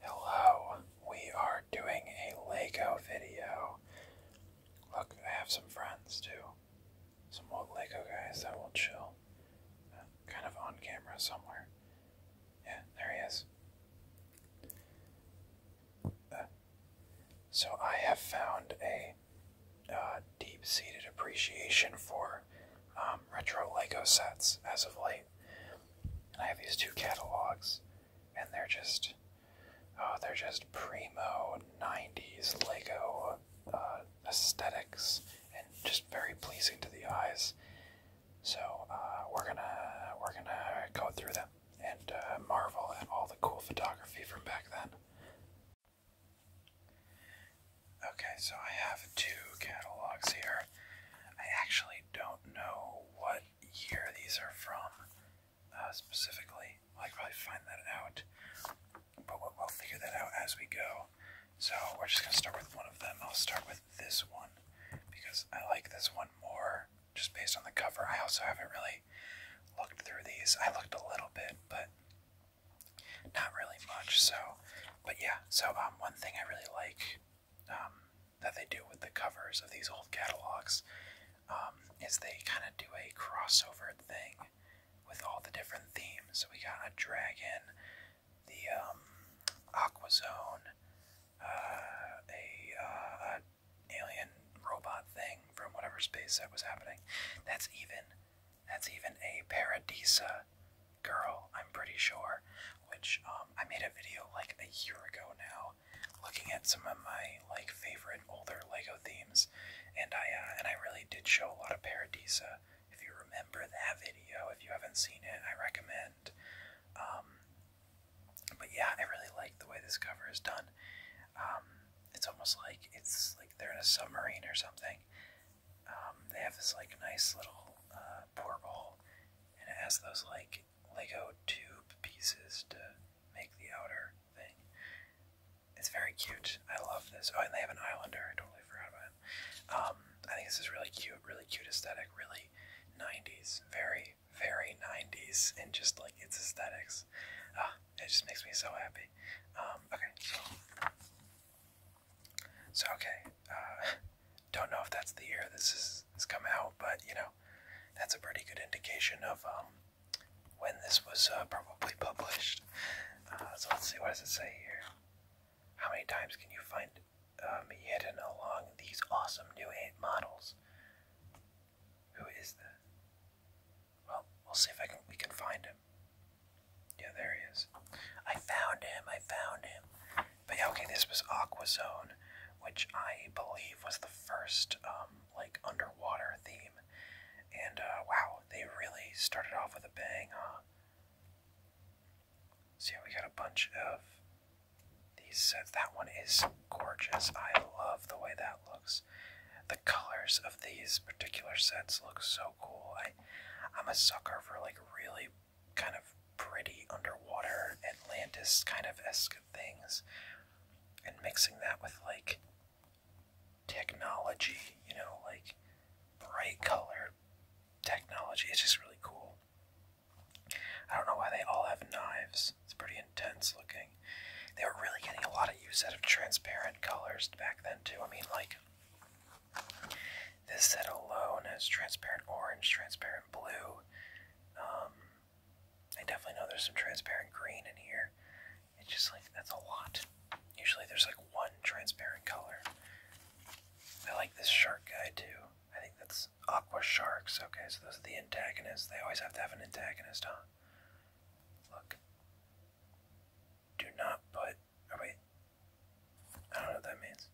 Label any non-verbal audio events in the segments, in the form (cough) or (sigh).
Hello, we are doing a Lego video. Look, I have some friends too. Some old Lego guys that will chill. Uh, kind of on camera somewhere. Yeah, there he is. Uh, so I have found a uh, deep-seated appreciation for um, retro Lego sets as of late. And I have these two catalogs, and they're just oh, they're just primo '90s Lego uh, aesthetics, and just very pleasing to the eyes. So uh, we're gonna we're gonna go through them and marvel at all the cool photography from back then. Okay, so I have two catalogs here. I actually don't know what year these are from uh, specifically. I'll probably find that out, but we'll figure that out as we go. So we're just gonna start with one of them. I'll start with this one because I like this one more just based on the cover. I also haven't really looked through these. I looked a little bit, but not really much. So, but yeah. So um, one thing I really like um, that they do with the covers of these old catalogs um, is they kind of do a crossover thing with all the different themes. So we got a dragon, the um, Aqua Zone, uh, a, uh, alien robot thing from whatever space that was happening. That's even that's even a Paradisa girl, I'm pretty sure. Which um, I made a video like a year ago now, looking at some of my like favorite older Lego themes, and I uh, and I really did show a lot of Paradisa. If you remember that video, if you haven't seen it, I recommend. Um, but yeah, I really like the way this cover is done. Um, it's almost like it's like they're in a submarine or something. Um, they have this like nice little port uh, porthole, and it has those like Lego tube pieces to make the outer thing. It's very cute. I love this. Oh, and they have an Islander. I totally forgot about him. Um, I think this is really cute. Really cute aesthetic. Really 90s. Very very 90s and just like its aesthetics it just makes me so happy. Um, okay, so okay. Uh, (laughs) don't know if that's the year this is has come out, but you know, that's a pretty good indication of um, when this was uh, probably (laughs) published. Uh, so let's see, what does it say here? How many times can you find me hidden along these awesome new eight models? Who is that? Well, we'll see if I can we can find him. Yeah, there he is. I found him. I found him. But yeah, okay, this was Aquazone, which I believe was the first um like underwater theme. And uh, wow, they really started off with a bang, huh? See, so we got a bunch of these sets. That one is gorgeous. I love the way that looks the colors of these particular sets look so cool. I, I'm a sucker for like really kind of pretty underwater Atlantis kind of esque things, and mixing that with like technology, you know, like bright color technology. It's just really cool. I don't know why they all have knives. It's pretty intense looking. They were really getting a lot of use out of transparent colors back then too. I mean, like this set alone has transparent orange, transparent blue. Um, I definitely know there's some transparent green in here. It's just like that's a lot. Usually there's like one transparent color. I like this shark guy too. I think that's aqua sharks. Okay, so those are the antagonists. They always have to have an antagonist, huh? Look. Do not put. Oh, wait. I don't know what that means.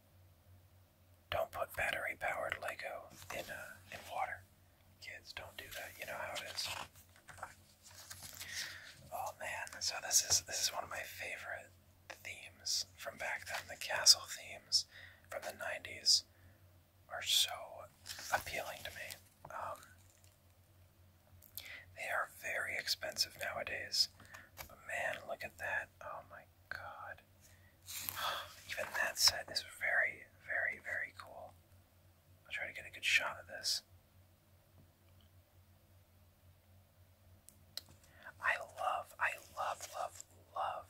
Don't put battery powered Lego in, uh, in water. Kids, don't do that. You know how it is. Oh man, so this is this is one of my favorite themes from back then. The castle themes from the 90s are so appealing to me. Um, they are very expensive nowadays. But man, look at that. Oh my god. (sighs) Even that said, this is very, very, very cool. I'll try to get a good shot of this. I love, I love, love, love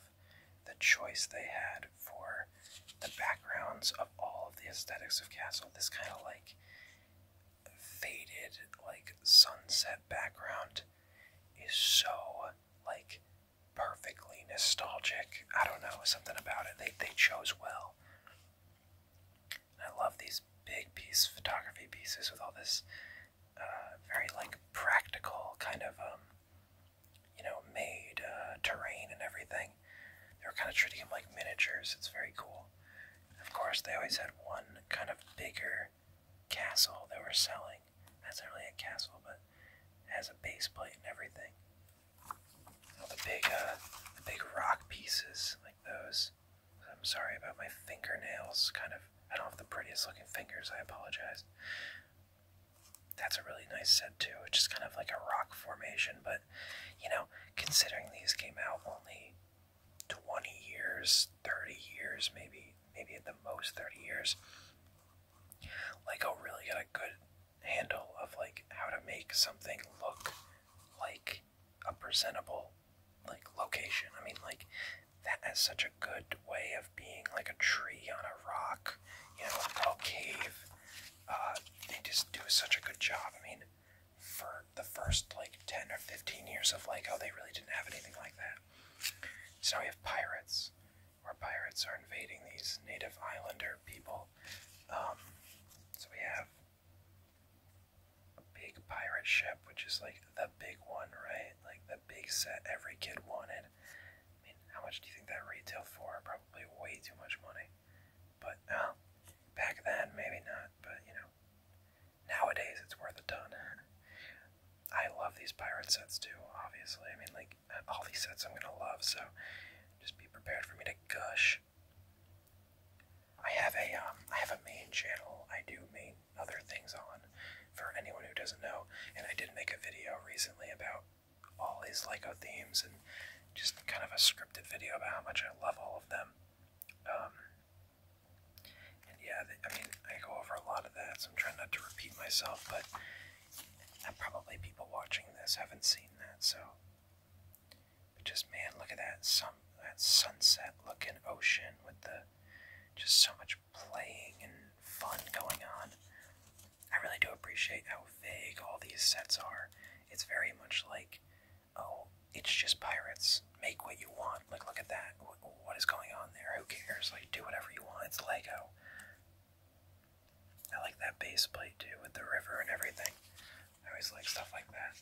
the choice they had for the backgrounds of all of the aesthetics of Castle. This kind of like faded like sunset background is so like perfectly nostalgic. I don't know, something about it. They they chose well. I love these big piece photography pieces with all this uh, very like practical kind of um, you know made uh, terrain and everything. They are kind of treating them like miniatures. It's very cool. Of course, they always had one kind of bigger castle they were selling. That's not really a castle, but it has a baseplate and everything. All the big, uh, the big rock pieces like those. I'm sorry about my fingernails. Kind of, I don't have the prettiest looking fingers. I apologize. That's a really nice set too. It's just kind of like a rock formation, but you know, considering these came out only 20 years, 30 years, maybe, maybe at the most 30 years, Like, Lego really got a good handle of like how to make something look like a presentable like location. I mean, like that has such a good way of being like a tree on a rock, you know, a cave. Uh, they just do such a good job. I mean, for the first like 10 or 15 years of like, oh, they really didn't have anything like that. So now we have pirates, where pirates are invading these native islander people. Um, so we have a big pirate ship, which is like the big one, right? Like the big set every kid wanted. I mean, how much do you think that retail for? Probably way too much money. But, uh, Back then, maybe not, but you know, nowadays it's worth a ton. I love these pirate sets too, obviously. I mean, like, all these sets I'm gonna love, so just be prepared for me to gush. I have a um, I have a main channel. I do main other things on for anyone who doesn't know, and I did make a video recently about all these Lego themes and just kind of a scripted video about how much I love all of them. Um, and yeah, I mean, I go over a lot of that, so I'm trying not to repeat myself, but uh, probably people watching this haven't seen that, so. just, man, look at that, sun, that sunset looking ocean with the just so much playing and fun going on. I really do appreciate how vague all these sets are. It's very much like oh, it's just pirates. Make what you want. Like, look at that. what is going on there? Who cares? Like, do whatever you want. It's Lego. I like that base plate too with the river and everything. I always like stuff like that.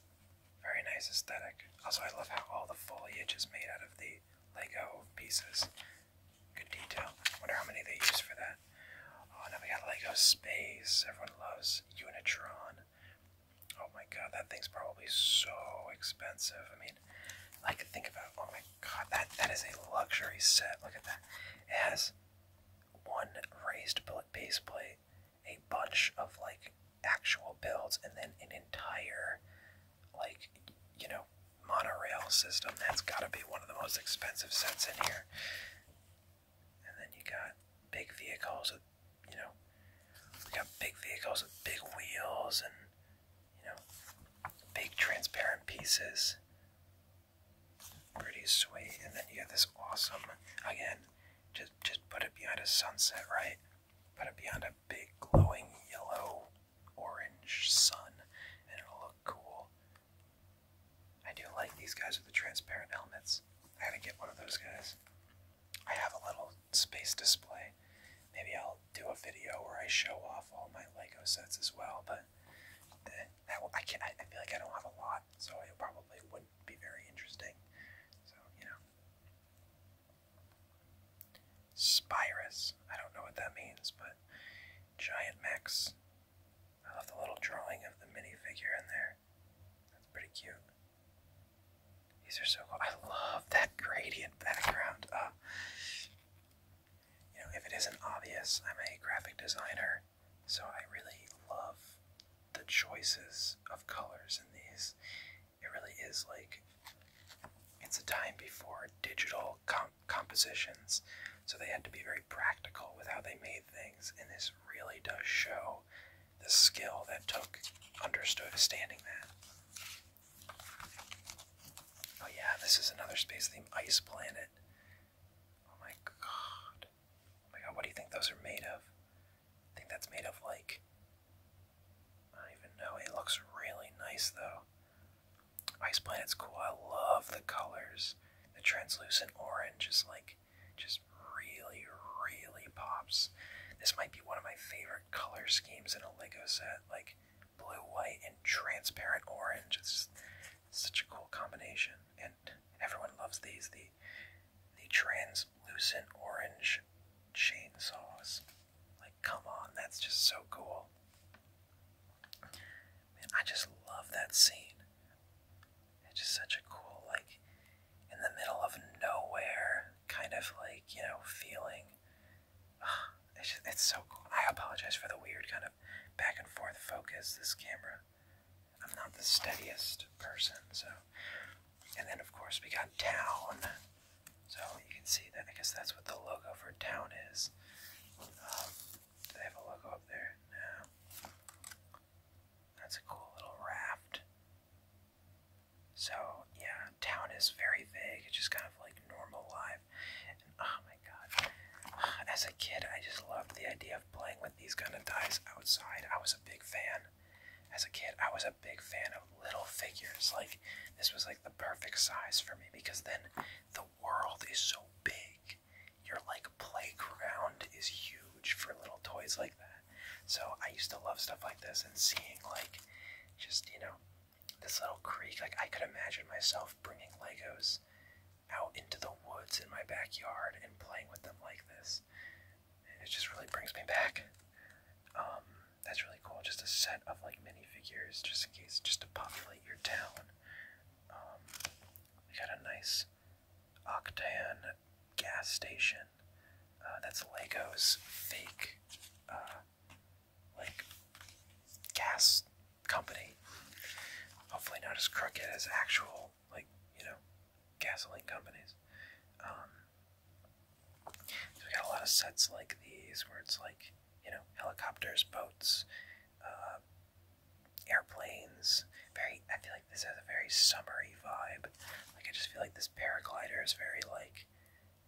Very nice aesthetic. Also, I love how all the foliage is made out of the Lego pieces. Good detail. Wonder how many they use for that. Oh, now we got Lego Space. Everyone loves Unitron. Oh my god, that thing's probably so expensive. I mean, I could think about oh my god, that that is a luxury set. Look at that. It has one raised base plate, a bunch of like actual builds, and then an entire like you know monorail system. That's got to be one of the most expensive sets in here. And then you got big vehicles with you know, we got big vehicles with big wheels and, you know, big transparent pieces. Pretty sweet. And then you have this awesome, again, just, just put it behind a sunset, right? Put it behind a big glowing yellow orange sun and it'll look cool. I do like these guys with the transparent helmets. I gotta get one of those guys. I have a little space display. Maybe I'll do a video where I show off all my Lego sets as well, but eh, I can I feel like I don't have a lot, so it probably wouldn't be very interesting. So you know, Spirus. I don't know what that means, but giant Max. I love the little drawing of the minifigure in there. That's pretty cute. These are so cool. I love that gradient background. Uh, you know, if it isn't obvious, I'm a graphic designer, so I really love the choices of colors in these. It really is like it's a time before digital compositions, so they had to be very practical with how they made things, and this really does show the skill that Took understood standing that. Oh yeah, this is another space theme, Ice Planet. Oh my god. Oh my god, what do you think those are made of? I think that's made of like I don't even know. It looks really nice though. Ice Planet's cool. I love the colors. The translucent orange is like just really, really pops. This might be one of my favorite color schemes in a Lego set, like blue, white, and transparent orange. It's such a cool combination, and everyone loves these. The the translucent orange chainsaws. Like, come on, that's just so cool. Man, I just love that scene. It's just such a cool, like, in the middle of nowhere, kind of like, you know, feeling. (sighs) it's, it's so cool. I apologize for the weird kind of back and forth focus. This camera, I'm not the steadiest person, so. And then, of course, we got Town. So you can see that. I guess that's what the logo for Town is. Um, do they have a logo up there? No. That's a cool little raft. So yeah, town is very vague. It's just kind of like normal life. oh my god, as a kid, I just loved the idea of playing with these kind of dice outside. I was a big fan. As a kid, I was a big fan of little figures. Like this was like the perfect size for me because then the world is so big. Your like playground is huge for little toys like that. So I used to love stuff like this and seeing like just, you know, this little creek. Like I could imagine myself bringing Legos out into the woods in my backyard and playing with them like this. It just really brings me back. Um, that's really cool. Just a set of like minifigures, just in case, just to populate your town. Um, we got a nice Octane gas station Mansion. Uh, that's Lego's fake, uh, like, gas company. Hopefully, not as crooked as actual, like, you know, gasoline companies. Um, so we got a lot of sets like these where it's like, you know, helicopters, boats, uh, airplanes. Very, I feel like this has a very summery vibe. Like, I just feel like this paraglider is very, like,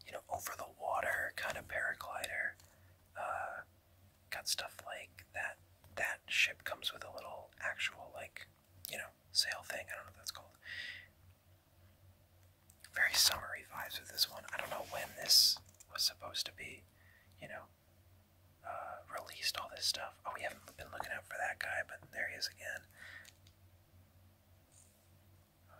you know, over the water kind of paraglider. Uh, got stuff like that. That ship comes with a little actual, like, you know, sail thing. I don't know what that's called. Very summery vibes with this one. I don't know when this was supposed to be, you know, uh, released all this stuff. Oh, we haven't been looking out for that guy, but there he is again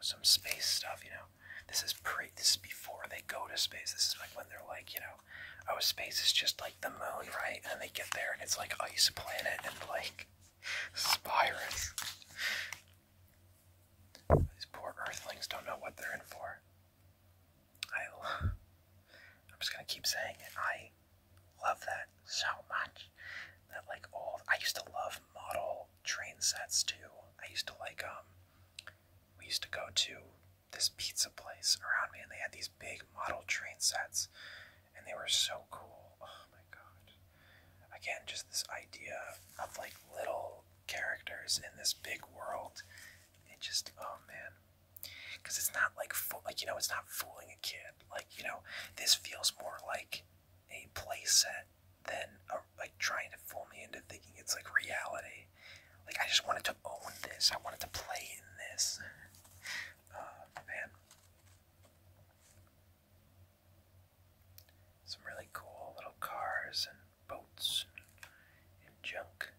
some space stuff, you know. This is pre this is before they go to space. This is like when they're like, you know, oh space is just like the moon, right? And they get there and it's like ice planet and like spirits. These poor earthlings don't know what they're in for. I I'm just gonna keep saying it. I love that so much that like old. I used to love model train sets too. I used to like um. We used to go to this pizza place around me, and they had these big model train sets, and they were so cool. Oh my god! Again, just this idea of like little characters in this big world. It just oh man, because it's not like like you know it's not fooling a kid. Like you know this feels more like a playset than a, like trying to fool me into thinking it's like reality. Like I just wanted to own this. I wanted to play in this. Uh, man, some really cool little cars and boats and, junk.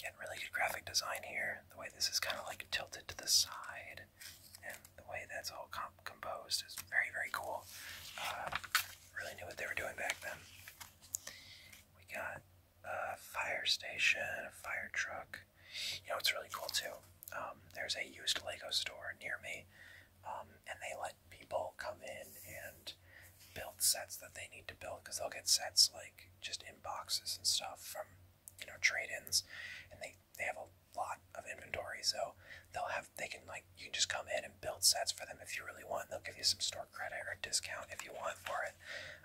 Getting really good graphic design here. The way this is kind of like tilted to the side and the way that's all composed is very, very cool. Uh, really knew what they were doing back then. We got a fire station, a fire truck. You know, it's really cool too. Um, there's a used Lego store near me, um, and they let people come in and build sets that they need to build because they'll get sets like just in boxes and stuff from you know trade-ins, and they they have a lot of inventory, so they'll have they can like you can just come in and build sets for them if you really want. They'll give you some store credit or discount if you want for it.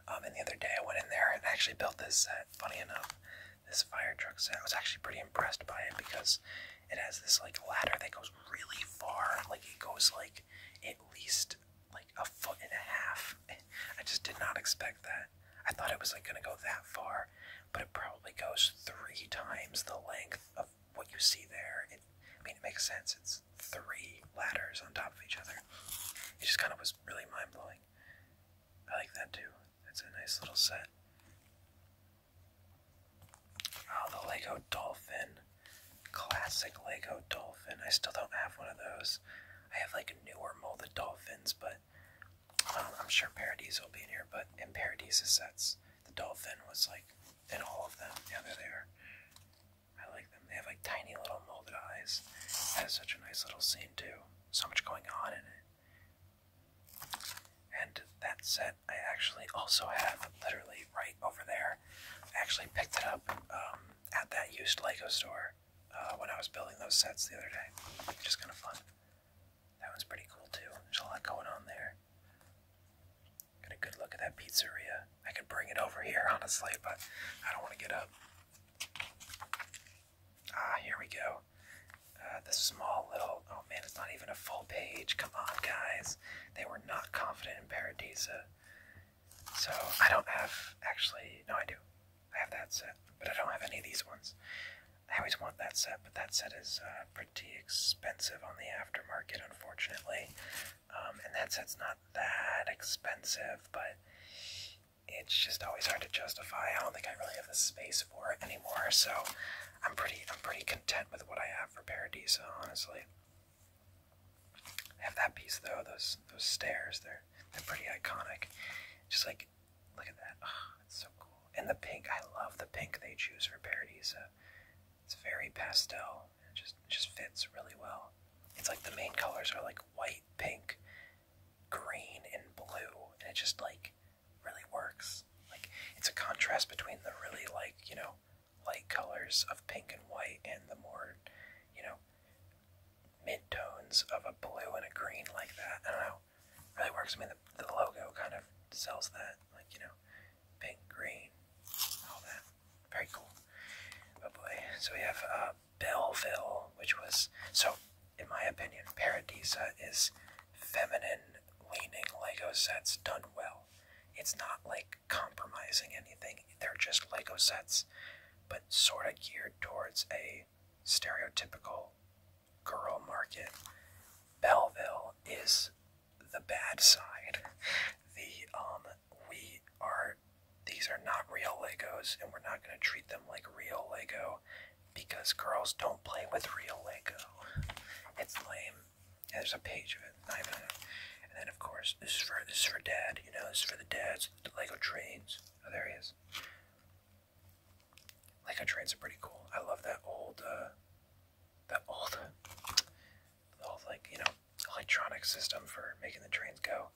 Um, and the other day I went in there and actually built this set. Funny enough, this fire truck set I was actually pretty impressed by it because it has this like ladder that goes really far. Like it goes like at least like a foot and a half. (laughs) I just did not expect that. I thought it was like gonna go that far, but it probably goes three times the length of what you see there. It, I mean, it makes sense. It's three ladders on top of each other. It just kind of was really mind blowing. I like that too. That's a nice little set. Oh, the Lego Dolphin. Classic Lego Dolphin. I still don't have one of those. I have like newer molded dolphins, but I'm sure Paradis will be in here, but in Paradis' sets, the dolphin was like in all of them. Yeah, they're there. I like them. They have like tiny little molded eyes. Has such a nice little scene too. So much going on in it. And that set I actually also have literally right over there. I actually picked it up um, at that used Lego store uh, when I was building those sets the other day. Just kind of fun. That one's pretty cool too. There's a lot going on there. Got a good look at that pizzeria. I could bring it over here, (laughs) honestly, but I don't want to get up. Ah, here we go. Uh, the small little. Oh man, it's not even a full page. Come on, guys. They were not confident in Paradisa. So I don't have. Actually, no, I do. I have that set, but I don't have any of these ones. I always want that set, but that set is uh, pretty expensive on the aftermarket, unfortunately. Um, and that set's not that expensive, but it's just always hard to justify. I don't think I really have the space for it anymore, so I'm pretty I'm pretty content with what I have for Paradiso, honestly. I have that piece though, those those stairs, they're they're pretty iconic. Just like Look at that. Ah, it's so cool. And the pink. I love the pink they choose for parodies. it's very pastel. It just just fits really well. It's like the main colors are like white, pink, green, and blue, and it just like really works. Like it's a contrast between the really like you know light colors of pink and white and the more you know mid tones of a blue and a green like that. I don't know really works. I mean, the, the logo kind of sells that, like, you know, pink, green, all that. Very cool. Oh boy. So we have uh, Belleville, which was, so in my opinion, Paradisa is feminine leaning Lego sets done well. It's not like compromising anything, they're just Lego sets, but sort of geared towards a stereotypical girl market. Belleville is the bad side. The um we are these are not real Legos and we're not gonna treat them like real Lego because girls don't play with real Lego. It's lame. there's a page of it. And then of course this is for this is for dad, you know, this is for the dads, the Lego trains. Oh there he is. Lego trains are pretty cool. I love that old, uh, that old, old like you know electronic system for making the trains go.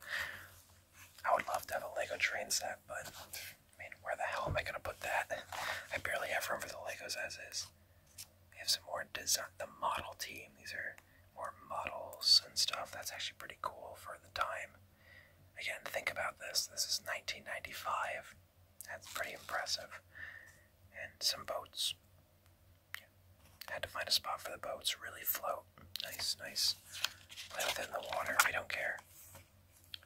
I would love to have a Lego train set, but I mean, where the hell am I gonna put that? I barely have room for the Legos as is. We have some more design, the model team. These are more models and stuff. That's actually pretty cool for the time. Again, think about this. This is 1995. That's pretty impressive. And some boats. Had to find a spot for the boats. Really float. Nice, nice. Play in the water. We don't care.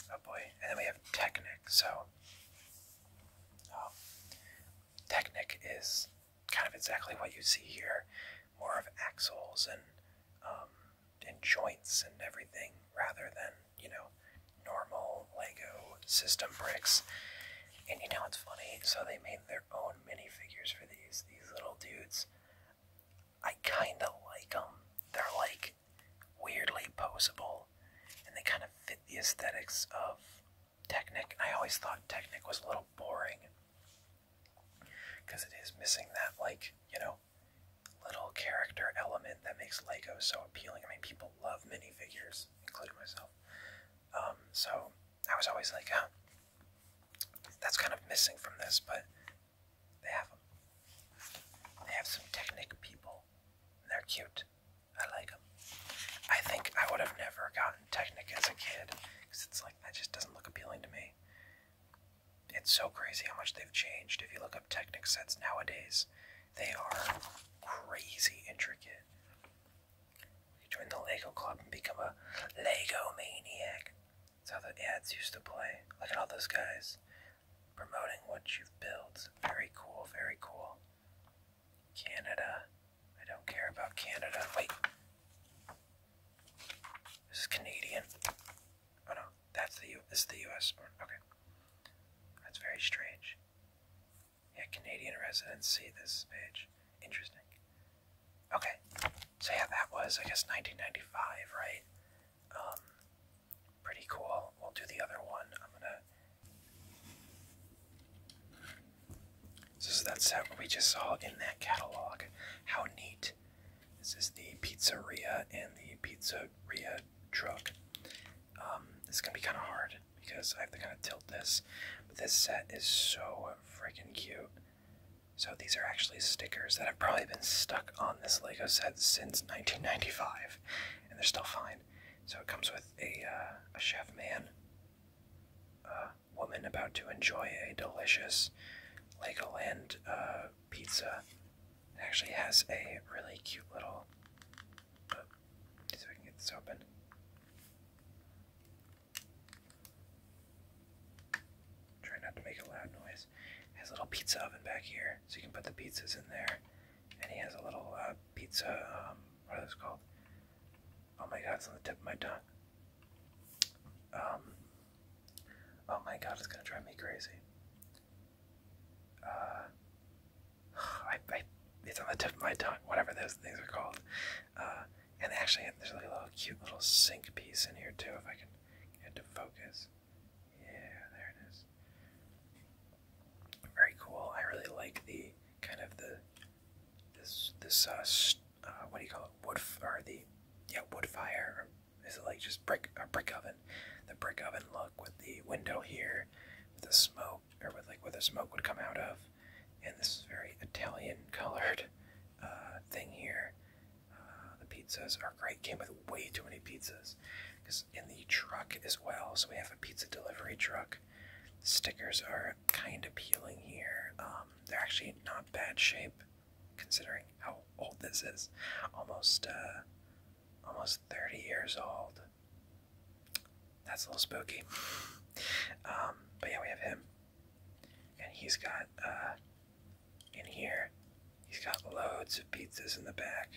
Oh boy. And then we have Technic. So, um, Technic is kind of exactly what you see here. More of axles and, um, and joints and everything rather than you know, normal Lego system bricks. And you know what's funny? So they made their own minifigures for these, these little dudes. I kind of like them. They're like weirdly posable and they kind of fit the aesthetics of Technic. And I always thought Technic was a little boring because it is missing that, like, you know, little character element that makes Lego so appealing. I mean, people love minifigures, including myself. Um, so I was always like, oh, that's kind of missing from this, but they have them. They have some Technic people, they're cute. I like them. I think I would have never gotten Technic as a kid, because it's like, that just doesn't look appealing to me. It's so crazy how much they've changed. If you look up Technic sets nowadays, they are crazy intricate. You join the Lego club and become a Lego maniac. That's how the ads used to play. Look at all those guys promoting what you've built. Very cool, very cool. Canada. I don't care about Canada. Wait. This is Canadian. Oh no, that's the U. This is the U.S. Okay, that's very strange. Yeah, Canadian residents see this page. Interesting. Okay, so yeah, that was, I guess, 1995, right? Um, pretty cool. We'll do the other one. I'm gonna. So, so that's how we just saw in that catalog. How neat. This is the pizzeria and the pizza Ria truck. it's gonna be kind of hard because I have to kind of tilt this. But this set is so freaking cute. So these are actually stickers that have probably been stuck on this Lego set since 1995, and they're still fine. So it comes with a uh, a chef man, a woman about to enjoy a delicious Legoland uh, pizza. It actually has a really cute little uh, so we can get this open. Try not to make a loud noise. He has a little pizza oven back here, so you can put the pizzas in there. And he has a little uh, pizza, um, What is it called? Oh my god, it's on the tip of my tongue. Um, oh my god, it's gonna drive me crazy uh, (sighs) I, it's on the tip of my tongue, whatever those things are called. Uh, and actually, there's like a little cute little sink piece in here too, if I can get to focus. Yeah, there it is. Very cool. I really like the kind of the this this uh, uh what do you call it wood or the yeah wood fire or is it like just brick a brick oven the brick oven look with the window here with the smoke or like where the smoke would come out of. And this is very Italian colored uh, thing here. Uh, the pizzas are great. Came with way too many pizzas because in the truck as well. So we have a pizza delivery truck. stickers are kind of peeling here. Um, they're actually not bad shape considering how old this is. Almost uh, almost 30 years old. That's a little spooky. Um, but yeah, we have him. And he's got, uh, in here, he's got loads of pizzas in the back.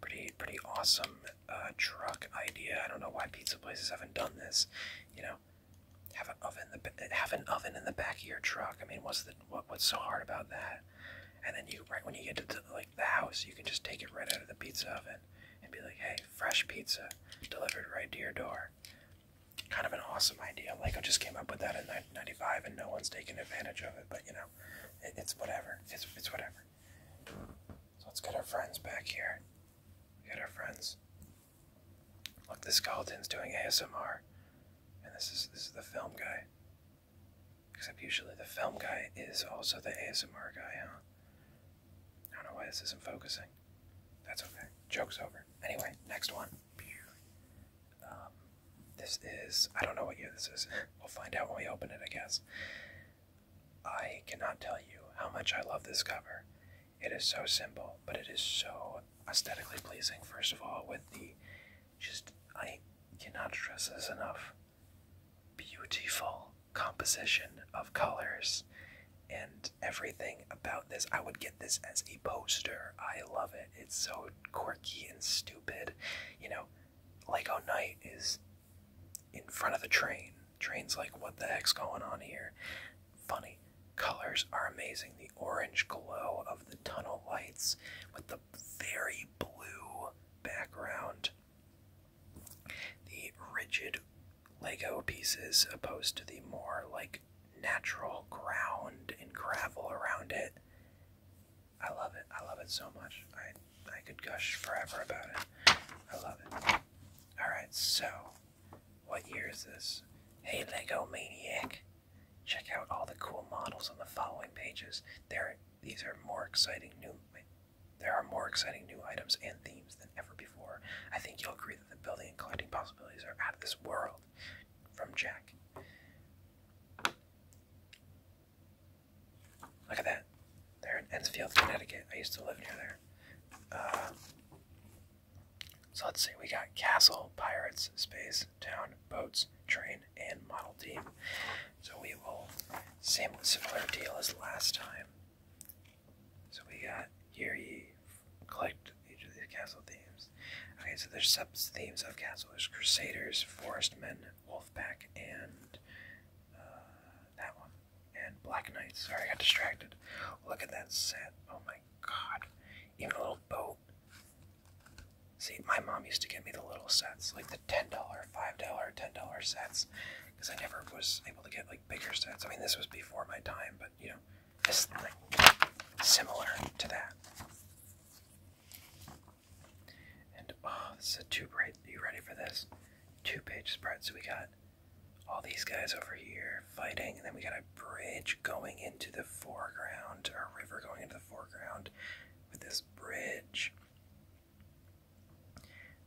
Pretty, pretty awesome uh, truck idea. I don't know why pizza places haven't done this. You know, have an oven, the, have an oven in the back of your truck. I mean, what's the what, what's so hard about that? and then you right when you get to the, like the house, you can just take it right out of the pizza oven and be like, "Hey, fresh pizza delivered right to your door." Kind of an awesome idea. Like I just came up with that in 1995, and no one's taking advantage of it. But you know, it's whatever. It's whatever. So let's get our friends back here. We got our friends. Look, the skeleton's doing ASMR, and this is this is the film guy. Except usually the film guy is also the ASMR guy, huh? I don't know why this isn't focusing. That's okay. Joke's over. Anyway, next one. Um, this is. I don't know what year this is. (laughs) we'll find out when we open it, I guess. I cannot tell you how much I love this cover. It is so simple, but it is so aesthetically pleasing, first of all, with the. Just. I cannot stress this enough beautiful composition of colors and everything about this. I would get this as a poster. I love it. It's so quirky and stupid. You know, Lego Knight is in front of the train. Train's like, what the heck's going on here? Funny. Colors are amazing. The orange glow of the tunnel lights with the very blue background the rigid Lego pieces opposed to the more like natural ground and gravel around it. I love it. I love it so much. I I could gush forever about it. I love it. Alright, so what year is this? Hey Lego Maniac. Check out all the cool models on the following pages. There these are more exciting new there are more exciting new items and themes than ever before. I think you'll agree that the building and collecting possibilities are out of this world. From Jack. Look at that. They're in Enfield, Connecticut. I used to live near there. Uh, so let's see. We got castle, pirates, space, town, boats, train, and model team. So we will same similar deal as last time. So we got here You collect each of these castle themes. Okay, so there's sub themes of castle. There's crusaders, forest men, wolfpack, and uh, that one, and black knights. Sorry, I got distracted. Look at that set. Oh my god, even a little boat. See, my mom used to give me the little sets, like the ten dollar, five dollar, ten dollar sets, because I never was able to get like bigger sets. I mean, this was before my time, but you know, this like similar to that. And oh, this is a two page. You ready for this? Two page spread. So we got all these guys over here fighting, and then we got a bridge going into the foreground, a river going into the foreground with this bridge.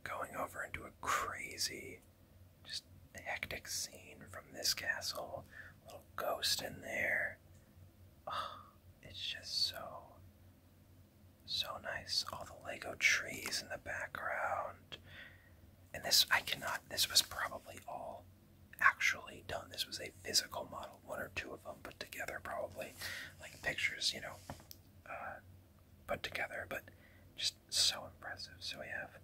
Going over into a crazy, just hectic scene from this castle. Little ghost in there. Ah, it's just so, so nice. All the Lego trees in the background. And this, I cannot, this was probably all actually done. This was a physical model, one or two of them put together, probably. Like pictures, you know, uh, put together, but just so impressive. So we have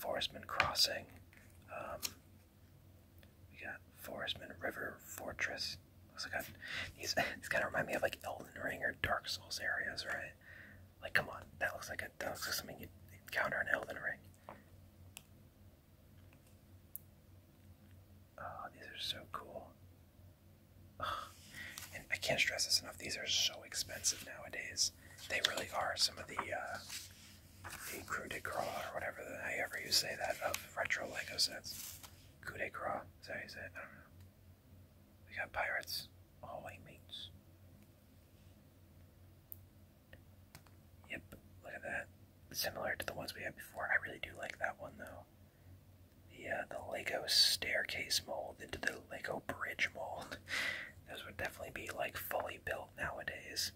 Forestman Crossing, um, we got Forestman River Fortress. Also got these. These kind of remind me of like Elden Ring or Dark Souls areas, right? Like, come on, that looks like a that looks like something you encounter in Elden Ring. Oh, these are so cool and I can't stress this enough. These are so expensive nowadays. They really are. Some of the uh, the coup de grace or whatever the however you say that of retro Lego sets. Coup de grace. Is that how you say it? I don't know. We got pirates. Hallway mates. Yep. Look at that. Similar to the ones we had before. I really do like that one though the the Lego staircase mold into the Lego bridge mold. (laughs) Those would definitely be like fully built nowadays,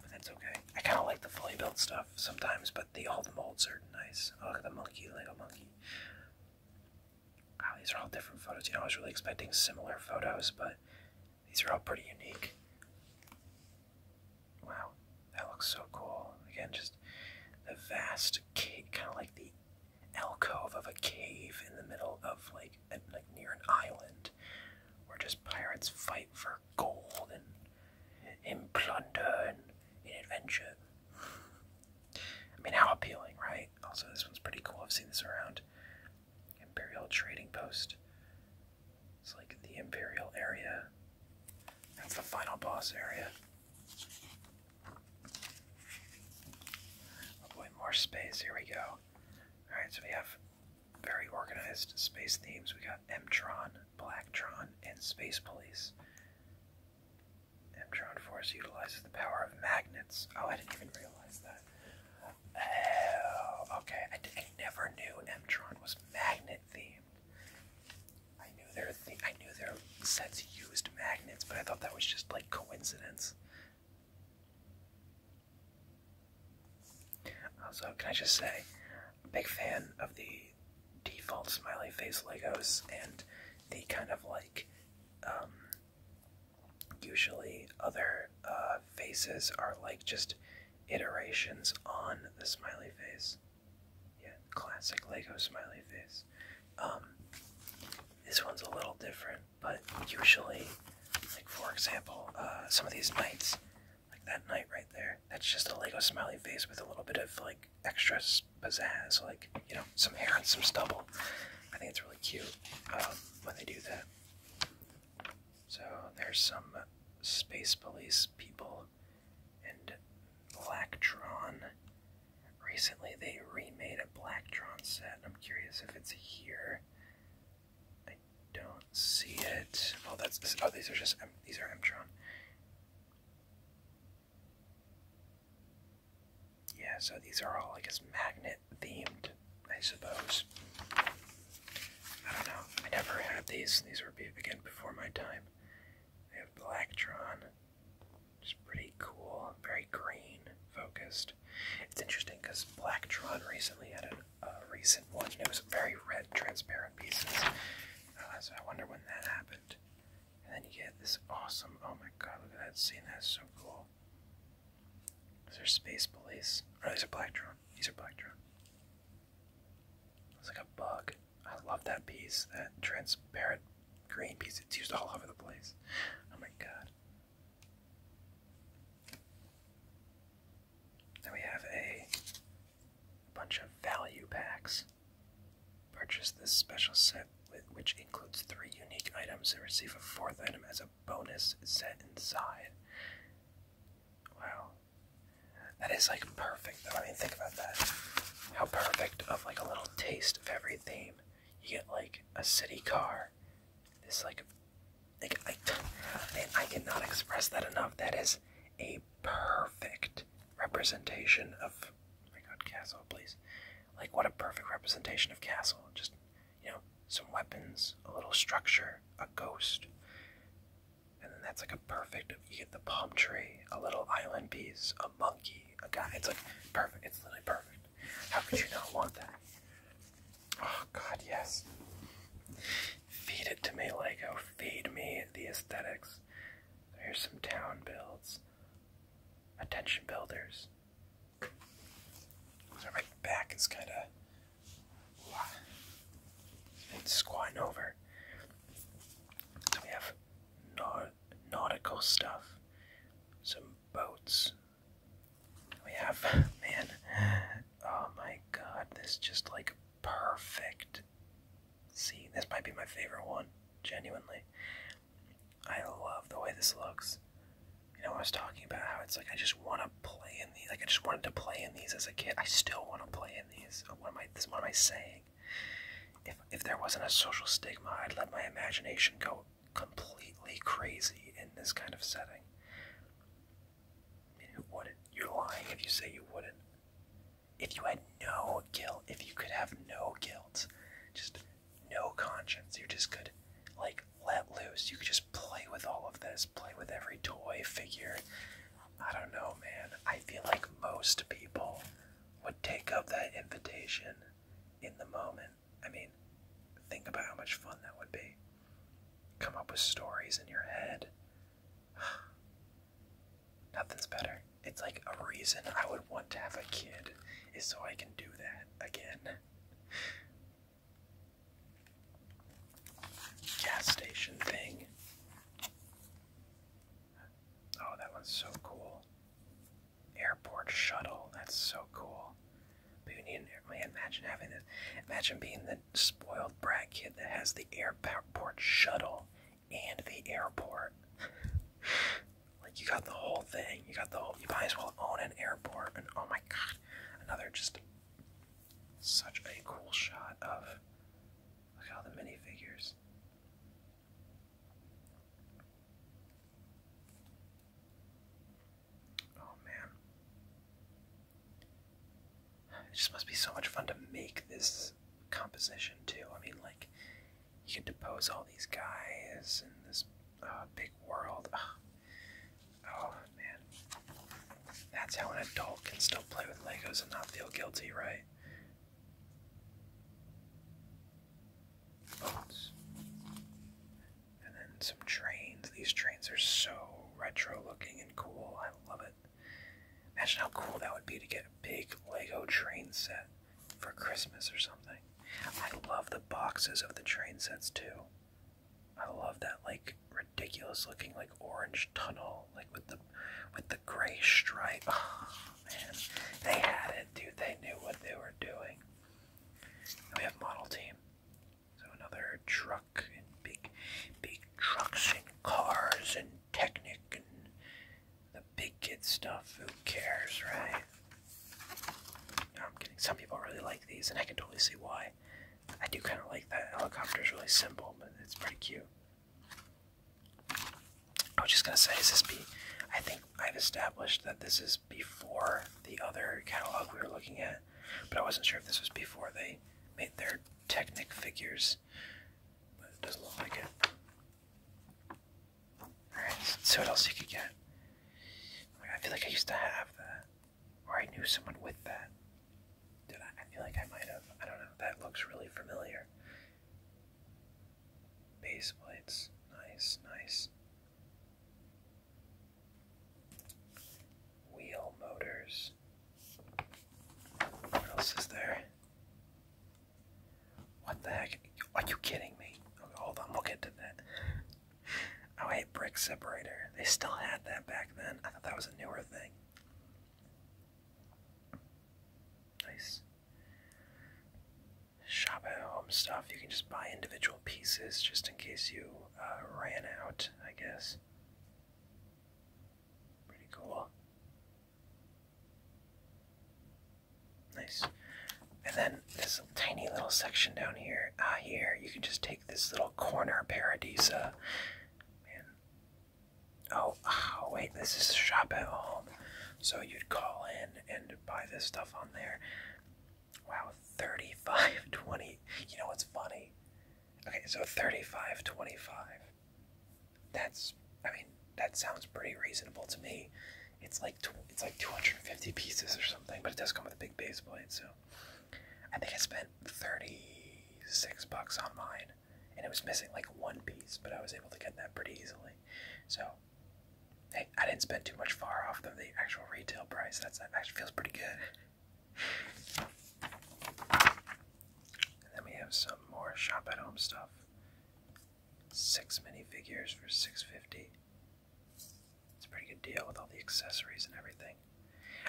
but that's okay. I kind of like the fully built stuff sometimes, but the old molds are nice. Oh, look at the monkey, Lego monkey. Wow, these are all different photos. You know, I was really expecting similar photos, but these are all pretty unique. Wow, that looks so cool. Again, just the vast, kind of like the alcove of a cave in the middle of like like near an island where just pirates fight for gold and and plunder and adventure. I mean, how appealing, right? Also, this one's pretty cool. I've seen this around. Imperial Trading Post. It's like the Imperial area. That's the final boss area. Oh more space. Here we go. Alright, so we have very organized space themes. We got Mtron, Blacktron, and Space Police. Mtron Force utilizes the power of magnets. Oh, I didn't even realize that. Oh, okay. I, never knew Mtron was magnet themed. I knew there I knew their sets used magnets, but I thought that was just like coincidence. Also, can I just say, I'm a big fan of the default smiley face Legos and the kind of like, um, usually other uh, faces are like just iterations on the smiley face. Yeah, classic Lego smiley face. Um, this one's a little different, but usually, like for example, uh, some of these knights, like that night right there, that's just a Lego smiley face with a little bit of like extra pizzazz, like you know, some hair and some stubble. I think it's really cute um, when they do that. So there's some space police people and Blacktron. Recently, they remade a Blacktron set, I'm curious if it's here. I don't see it. Oh, that's oh, these are just these are Mtron. Yeah, so these are all, I guess, magnet themed, I suppose. I don't know. I never had these. These were again before my time. They have Blacktron. It's pretty cool, very green focused. It's interesting because Blacktron recently had a, recent one, it was very red, transparent pieces. Uh, I wonder when that happened. And then you get this awesome. Oh my god, look at that scene! That's so cool. Is there space police? Or oh, these are Blacktron. These are Blacktron. It's like a bug. I love that piece. That transparent green piece. It's used all over the place. Oh my god. Then we have a bunch of value packs. Purchase this special set, which includes three unique items, and receive a fourth item as a bonus set inside. Wow. That is like perfect, though. I mean, think about that. How perfect of like a little taste of every theme. You get like a city car. This like, like I, I cannot express that enough. That is a perfect representation of. Oh my God, castle, please! Like what a perfect representation of castle. Just you know, some weapons, a little structure, a ghost, and then that's like a perfect. You get the palm tree, a little island piece, a monkey, a guy. It's like perfect. It's literally perfect. How could you not want that? Oh God, yes. Feed it to me, Lego. Feed me the aesthetics. Here's some town builds. Attention builders. So my back is kind of squatting over. So we have North nautical stuff, some boats. We have, (laughs) man, oh my god, this just like perfect. See, this might be my favorite one, genuinely. I love the way this looks. You know, I was talking about how it's like I just want to play in these. Like I just wanted to play in these as a kid. I still want to play in these. Uh, what am I? what am I saying? If if there wasn't a social stigma, I'd let my imagination go completely crazy in this kind of setting. I wouldn't? You're lying if you say you wouldn't. If you had no guilt, if you could have no guilt, just no conscience, you just could, like, let loose. You could just play with all of this, play with every toy, figure. I don't know, man. I feel like most people would take up that invitation in the moment I mean, think about how much fun that would be. Come up with stories in your head. (sighs) Nothing's better. It's like a reason I would want to have a kid is so I can do that again. Gas station thing. Oh, that one's so cool airport shuttle. That's so cool. But you need an air man, imagine having this. Imagine being the spoiled brat kid that has the airport shuttle and the airport. (laughs) like you got the whole thing. You got the whole. You might as well own an airport. And oh my god, another just such a cool shot of. Look at all the minifigures. Oh man. It just must be so much fun to make this composition too. I mean, like, you can depose all these guys in this uh, big world. Oh man, that's how an adult can still play with Legos and not feel guilty, right? And then some trains. These trains are so retro looking and cool. I love it. Imagine how cool that would be to get a big Lego train set for Christmas or something. I love the boxes of the train sets too. I love that like ridiculous looking like orange tunnel like with the with the gray stripe. Oh man, they had it, dude. They knew what they were doing we have model team. So another truck and big, big trucks and cars and Technic and the big kid stuff. Who cares, right? No, I'm kidding. Some people really like these, and I can totally see why. I do kind of like that. helicopter is really simple, but it's pretty cute. I was just gonna say, is this be? I think I've established that this is before the other catalog we were looking at, but I wasn't sure if this was before they made their Technic figures. But it doesn't look like it. Alright, let's see what else you could get. Oh I feel like I used to have that. Or I knew someone with that. Did I? I feel like I might have. I don't know. That looks really familiar. Base plates. Nice, nice. Wheel motors. What else is there? What the heck? Are you kidding me? hold on, we'll get to that. Oh, hey, brick separator. They still had that back then. I thought that was a newer thing. Nice shop at home stuff. You can just buy individual pieces just in case you uh, ran out, I guess. Pretty cool. Nice. And then this tiny little section down here, ah, here, you can just take this little corner paradisa. Man. Oh, oh, wait, this is shop at home. So you'd call in and buy this stuff on there. Wow, 35 (laughs) 20. You know what's funny? Okay, so 35 25. That's I mean, that sounds pretty reasonable to me. It's like it's like 250 pieces or something, but it does come with a big base plate, so I think I spent 36 bucks on mine and it was missing like one piece, but I was able to get that pretty easily. So, Hey, I didn't spend too much far off of the actual retail price. That's actually feels pretty good. And then we have some more shop at home stuff. Six minifigures for six fifty. It's a pretty good deal with all the accessories and everything.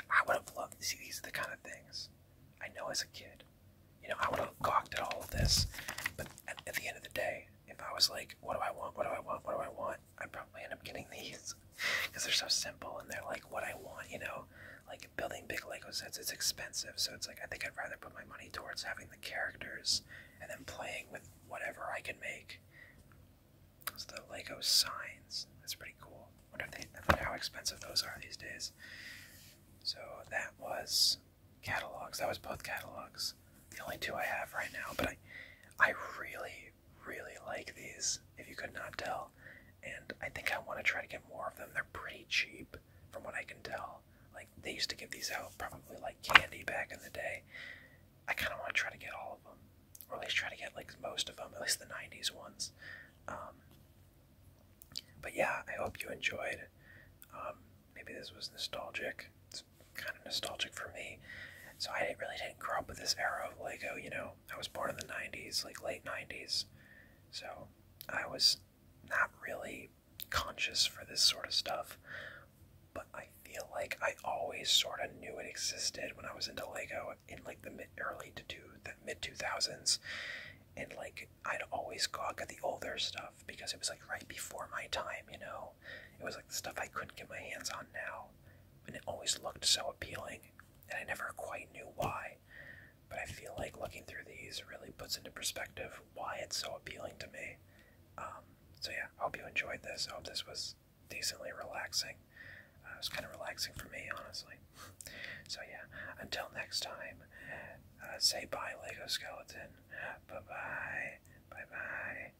I would have loved to see these the kind of things. I know as a kid, you know, I would have gawked at all of this, but at the end of the day, if I was like, what do I want? What do I want? What do I want? I probably end up getting these because (laughs) they're so simple and they're like what I want, you know. Like building big Lego sets, it's expensive, so it's like I think I'd rather put my money towards having the characters and then playing with whatever I can make. Those the Lego signs, that's pretty cool. Wonder wonder how expensive those are these days. So that was catalogs. That was both catalogs. The only two I have right now, but I, I really really, like these, if you could not tell. And I think I want to try to get more of them. They're pretty cheap, from what I can tell. Like, they used to give these out probably like candy back in the day. I kind of want to try to get all of them. Or at least try to get like most of them, at least the 90s ones. Um, but yeah, I hope you enjoyed. Um, maybe this was nostalgic kind of nostalgic for me. So I really didn't grow up with this era of Lego, you know. I was born in the 90s, like late 90s. So I was not really conscious for this sort of stuff. But I feel like I always sort of knew it existed when I was into Lego in like the mid early to the mid 2000s. And like I'd always go out get the older stuff because it was like right before my time, you know. It was like the stuff I couldn't get my hands on now and it always looked so appealing, and I never quite knew why. But I feel like looking through these really puts into perspective why it's so appealing to me. Um, so yeah, I hope you enjoyed this. I hope this was decently relaxing. Uh, it was kind of relaxing for me, honestly. So yeah, until next time, uh, say bye, Lego Skeleton. Bye bye. Bye bye.